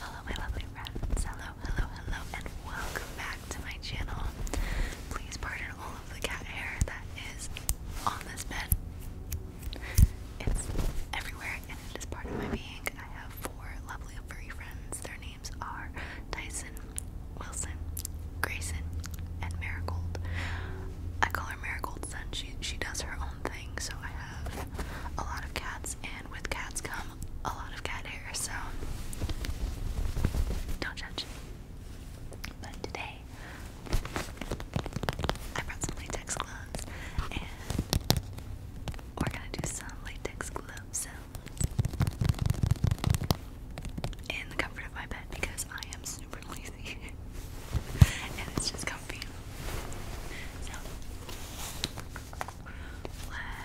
Hello, my lovely friends. Hello, hello, hello, and welcome back to my channel. Please pardon all of the cat hair that is on this bed. It's everywhere and it is part of my being. I have four lovely furry friends. Their names are Tyson, Wilson, Grayson, and Marigold. I call her Marigold Sun. She she does her own thing, so I have a lot of cats, and with cats come a lot of cat hair, so don't judge. But today I brought some latex gloves and we're gonna do some latex gloves in the comfort of my bed because I am super lazy and it's just comfy.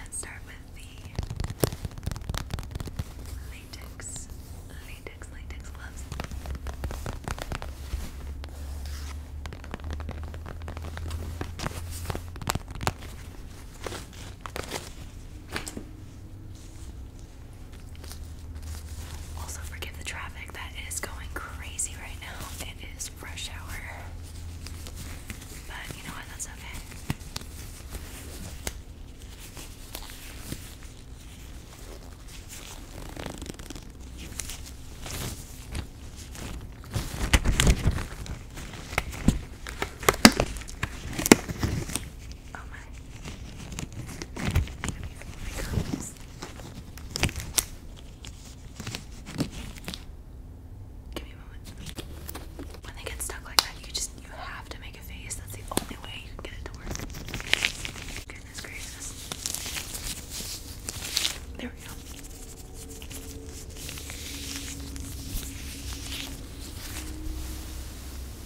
let's start with the latex, latex, latex gloves. Also, forgive the traffic that is going crazy right now. It is rush hour. But you know what? That's okay. Oh my. Give me a moment. When they get stuck like that, you just you have to make a face. That's the only way you can get it to work. Goodness gracious. There we go.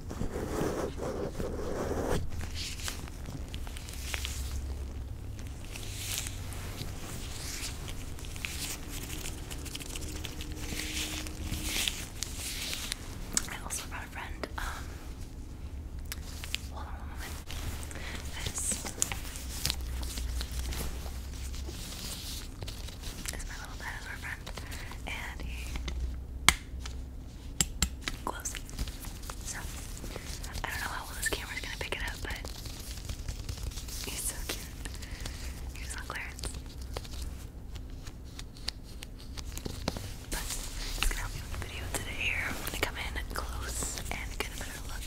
I also brought a friend. Um, hold on one moment. This is my little dinosaur friend, and he Close. So, I don't know how well this camera's gonna pick it up, but he's so cute. Here's on Clarence. But it's gonna help me with the video today here. I'm gonna come in close and get a better look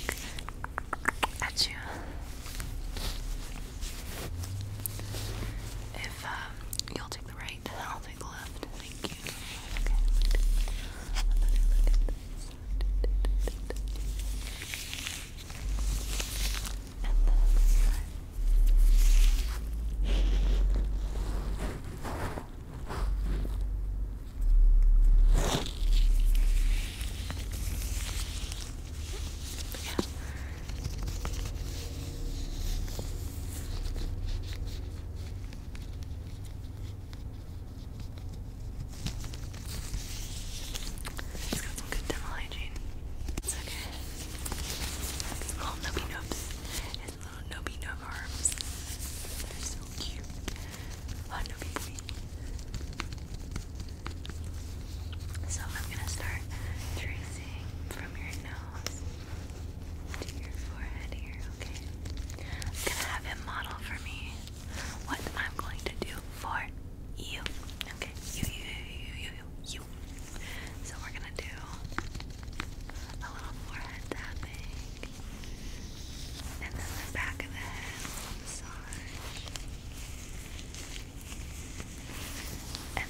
at you. If um, you'll do take the right and I'll take the left. Thank you. Okay, wait. Another look at this. And then this side. Yeah. It's got some good dental okay. These little nubby nubs and little nubby nub arms. They're so cute. Oh, nubby boy. So I'm gonna start tracing from your nose to your forehead here, okay? gonna have him model for me what I'm going to do for you, okay? You, you, you, you, you, So we're gonna do a little forehead tapping, and then the back of the head massage,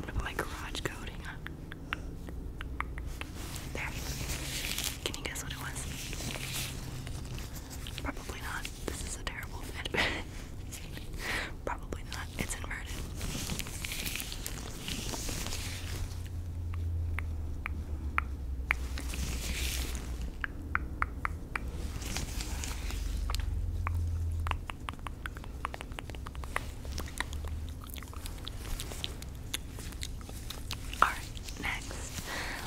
Remember my garage code? Hang on. There. Can you guess what it was? Probably not. This is a terrible fit. Probably not. It's inverted. All right, next,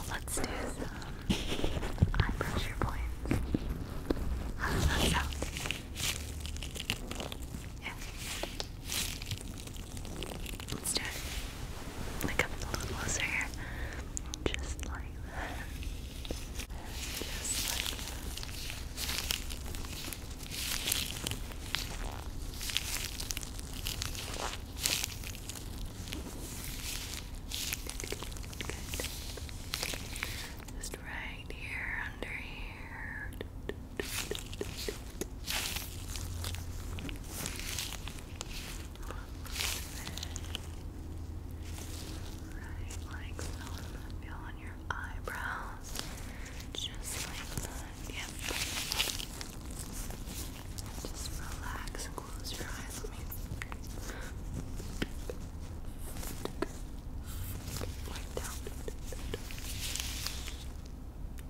let's do I pressure points. How Let's do it. Like come a little closer here. Just like that. Just right here, under here. Right, like so. feel on your eyebrows, just like that. Yep. Just relax and close your eyes. Let me Wipe down.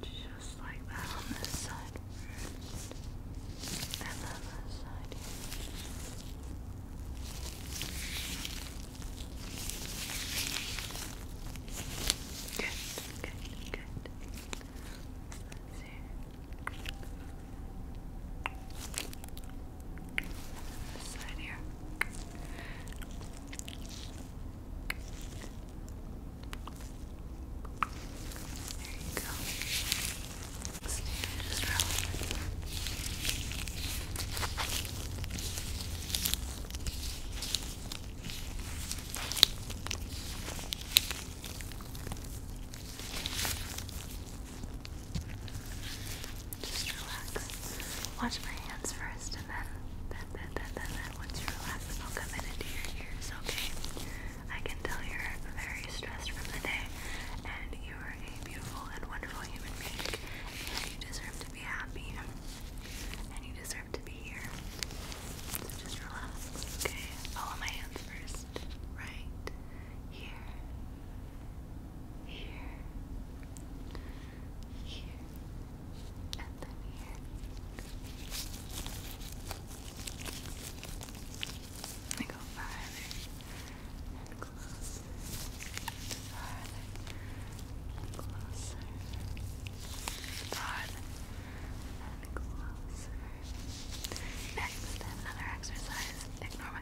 Just like that on this side first. And then this side Good, good, good. This side here. There you go. Let's just roll it. There just relax. Watch my hands first and then, then, then, then, then, then once you relax, I'll come in into your ears, okay? I can tell you're very stressed from the day and you are a beautiful and wonderful human being and you deserve to be happy and you deserve to be here. So just relax, okay? Follow my hands first. Right here here, here, and then here. I go farther and closer, farther and closer, farther and closer. Next, another exercise. Ignore my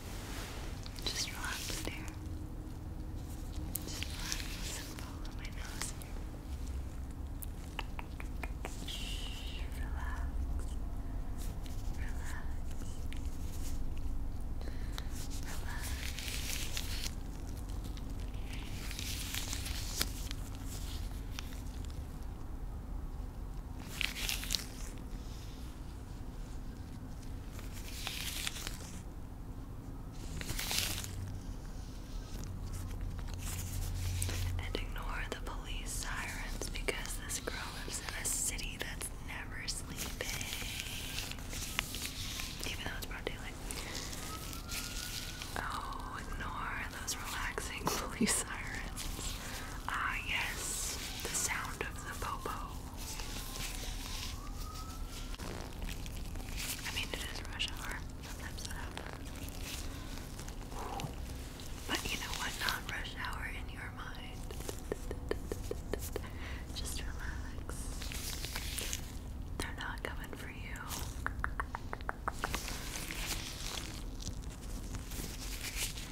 Just relax there. Just relax and follow my nose Shh, Relax. Relax. Relax. And ignore the police sirens because this girl lives in a city that's never sleeping. Even though it's broad daylight. Oh, ignore those relaxing police sirens. Ah, yes, the sound of the popo. I mean, it is rush hour. Sometimes that happens. But you know what? Not rush hour in your mind. Just relax. They're not coming for you.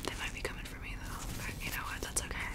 They might be coming for me though, but you know what? That's okay.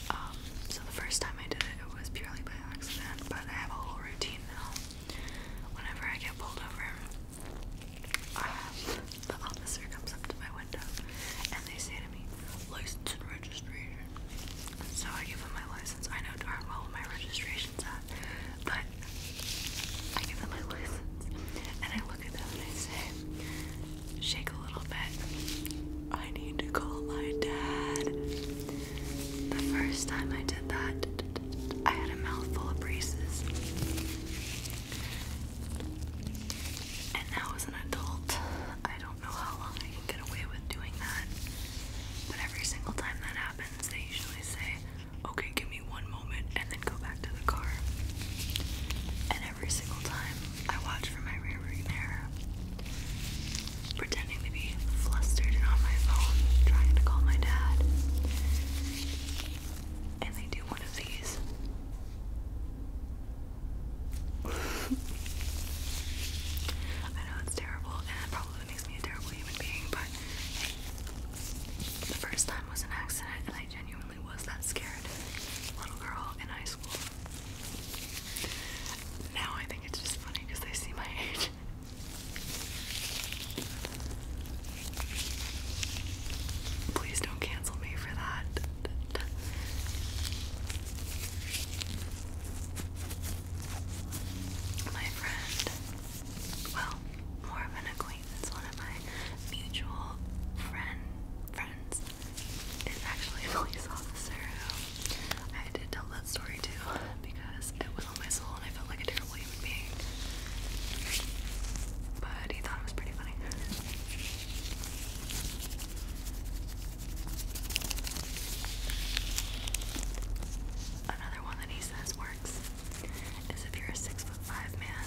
Um, so the first time I did it, it was purely by accident, but I have a whole routine now. Whenever I get pulled over, um, the officer comes up to my window and they say to me, license and registration. So I give them my license. I know darn well my registration's at, but I give them my license and I look at them and I say, shake a little bit. I need to call my dad. The first time I did that, I had a mouthful of braces. And now, as an adult, I don't know how long I can get away with doing that. But every single time that happens, they usually say, okay, give me one moment, and then go back to the car. And every single time I watch for my rearview mirror, pretending to be flustered and on my phone, trying to call my dad. And they do one of these. I know it's terrible, and it probably makes me a terrible human being, but the first time was an accident, and I genuinely was that scared little girl in high now I think it's just funny because they see my age. Please don't cancel me for that. My friend, well, more of an acquaintance, one of my mutual friend friends is actually police officer I did tell that story too because it was on my soul and I felt like a terrible human being. But he thought it was pretty funny. Another one that he says works is if you're a six foot five man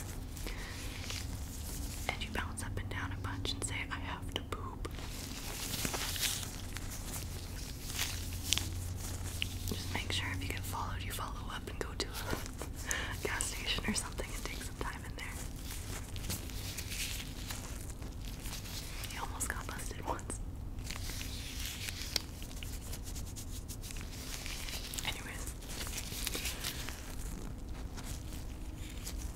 and you bounce up and down a bunch and say, I have to poop. Just make sure if you get followed, you follow up and go to a gas station or something and take some time in there. He almost got busted once. Anyways,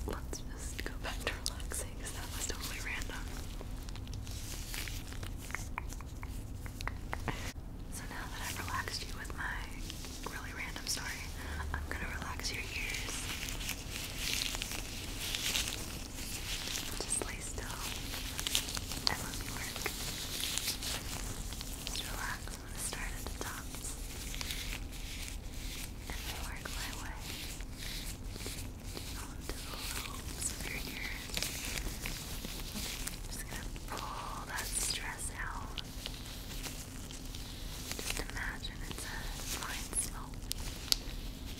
let's just go back to relaxing because that was totally random. So now that I've relaxed you with my really random story, I'm gonna relax your ears. Just lay still and let me work. Just relax. I'm gonna start at the top and I work my way onto the lobes of am just gonna pull that stress out. Just imagine it's a fine smoke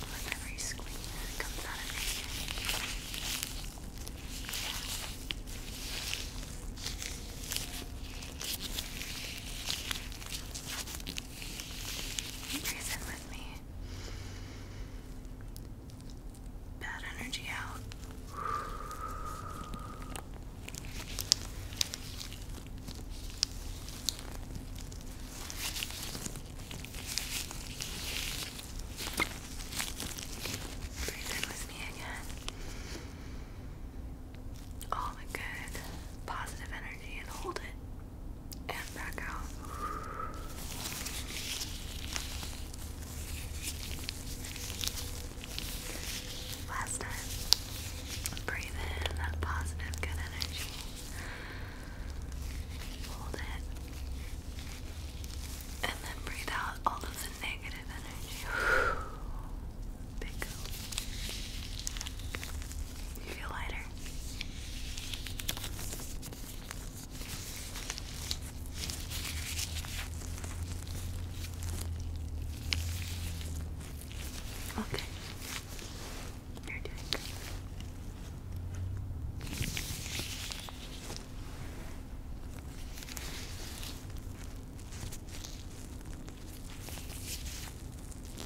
with every squeeze that comes out of your ear. Breathe in with me. Bad energy out. Breathe in with me again. All good, positive energy and hold it and back out. Last time, breathe in that positive, good energy. Hold it. And then breathe out all of negative energy. Big go. You feel lighter? water. Okay. You're doing good.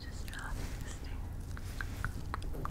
Just not existing. Just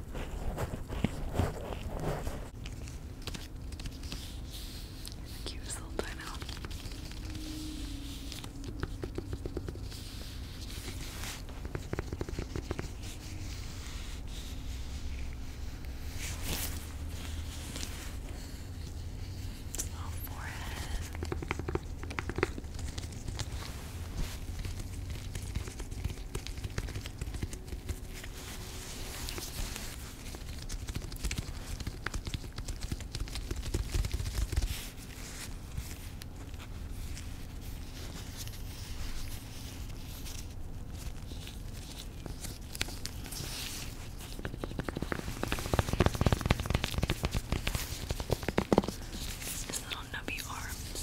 The cutest little pineapple. Little forehead. This little nubby arm.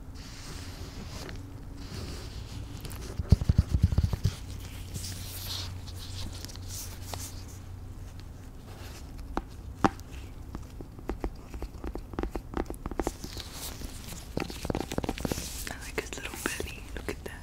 I like his little belly. Look at that.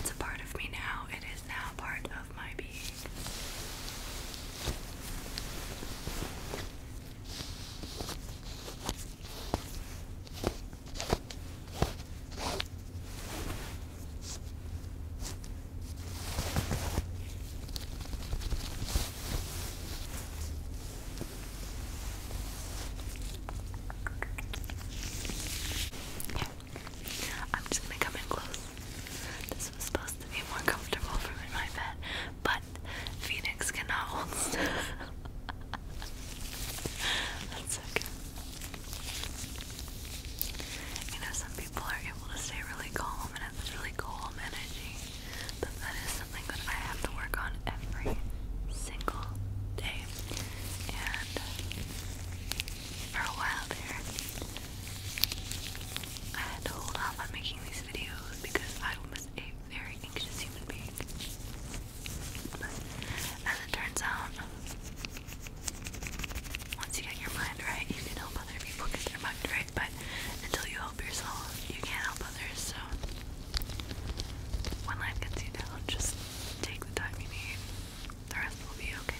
It's a part of me now. It is now part of my being. I'm just gonna come in close. This was supposed to be more comfortable from in my bed, but Phoenix cannot hold still. That's okay. You know, some people are able to stay really calm and have really calm energy. But that is something that I have to work on every single day. And for a while there, I had to hold off on making these videos because I was a very anxious human being. But as it turns out, once you get your mind right, you can help other people get their mind right. But until you help yourself, you can't help others. So when life gets you down, just take the time you need. The rest will be okay.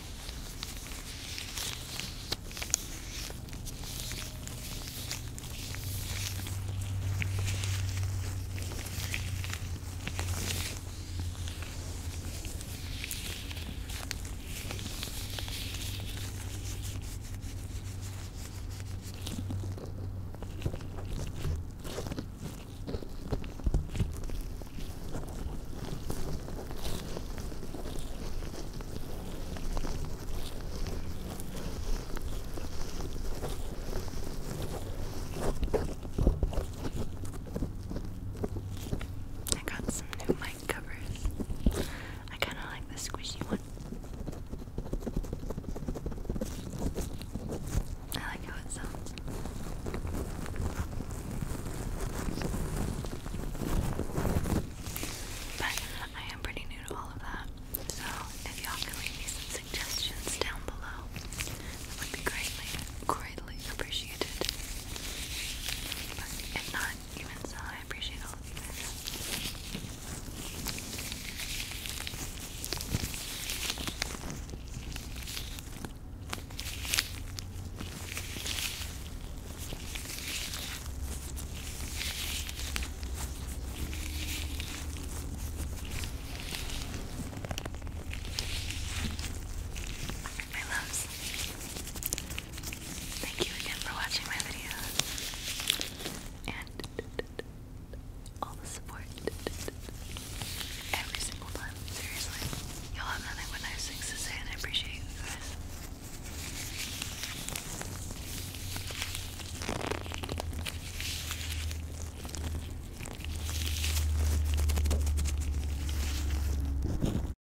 I got some new covers. I kind of like the squishy one. I like how it sounds. But I am pretty new to all of that. So if y'all can leave some suggestions down below, that would be greatly, greatly appreciated. But if not, even so, I appreciate all of you guys. My loves. Thank you again for watching my videos and all the support every single time. Seriously, y'all have nothing but nice things to say, and I appreciate you guys.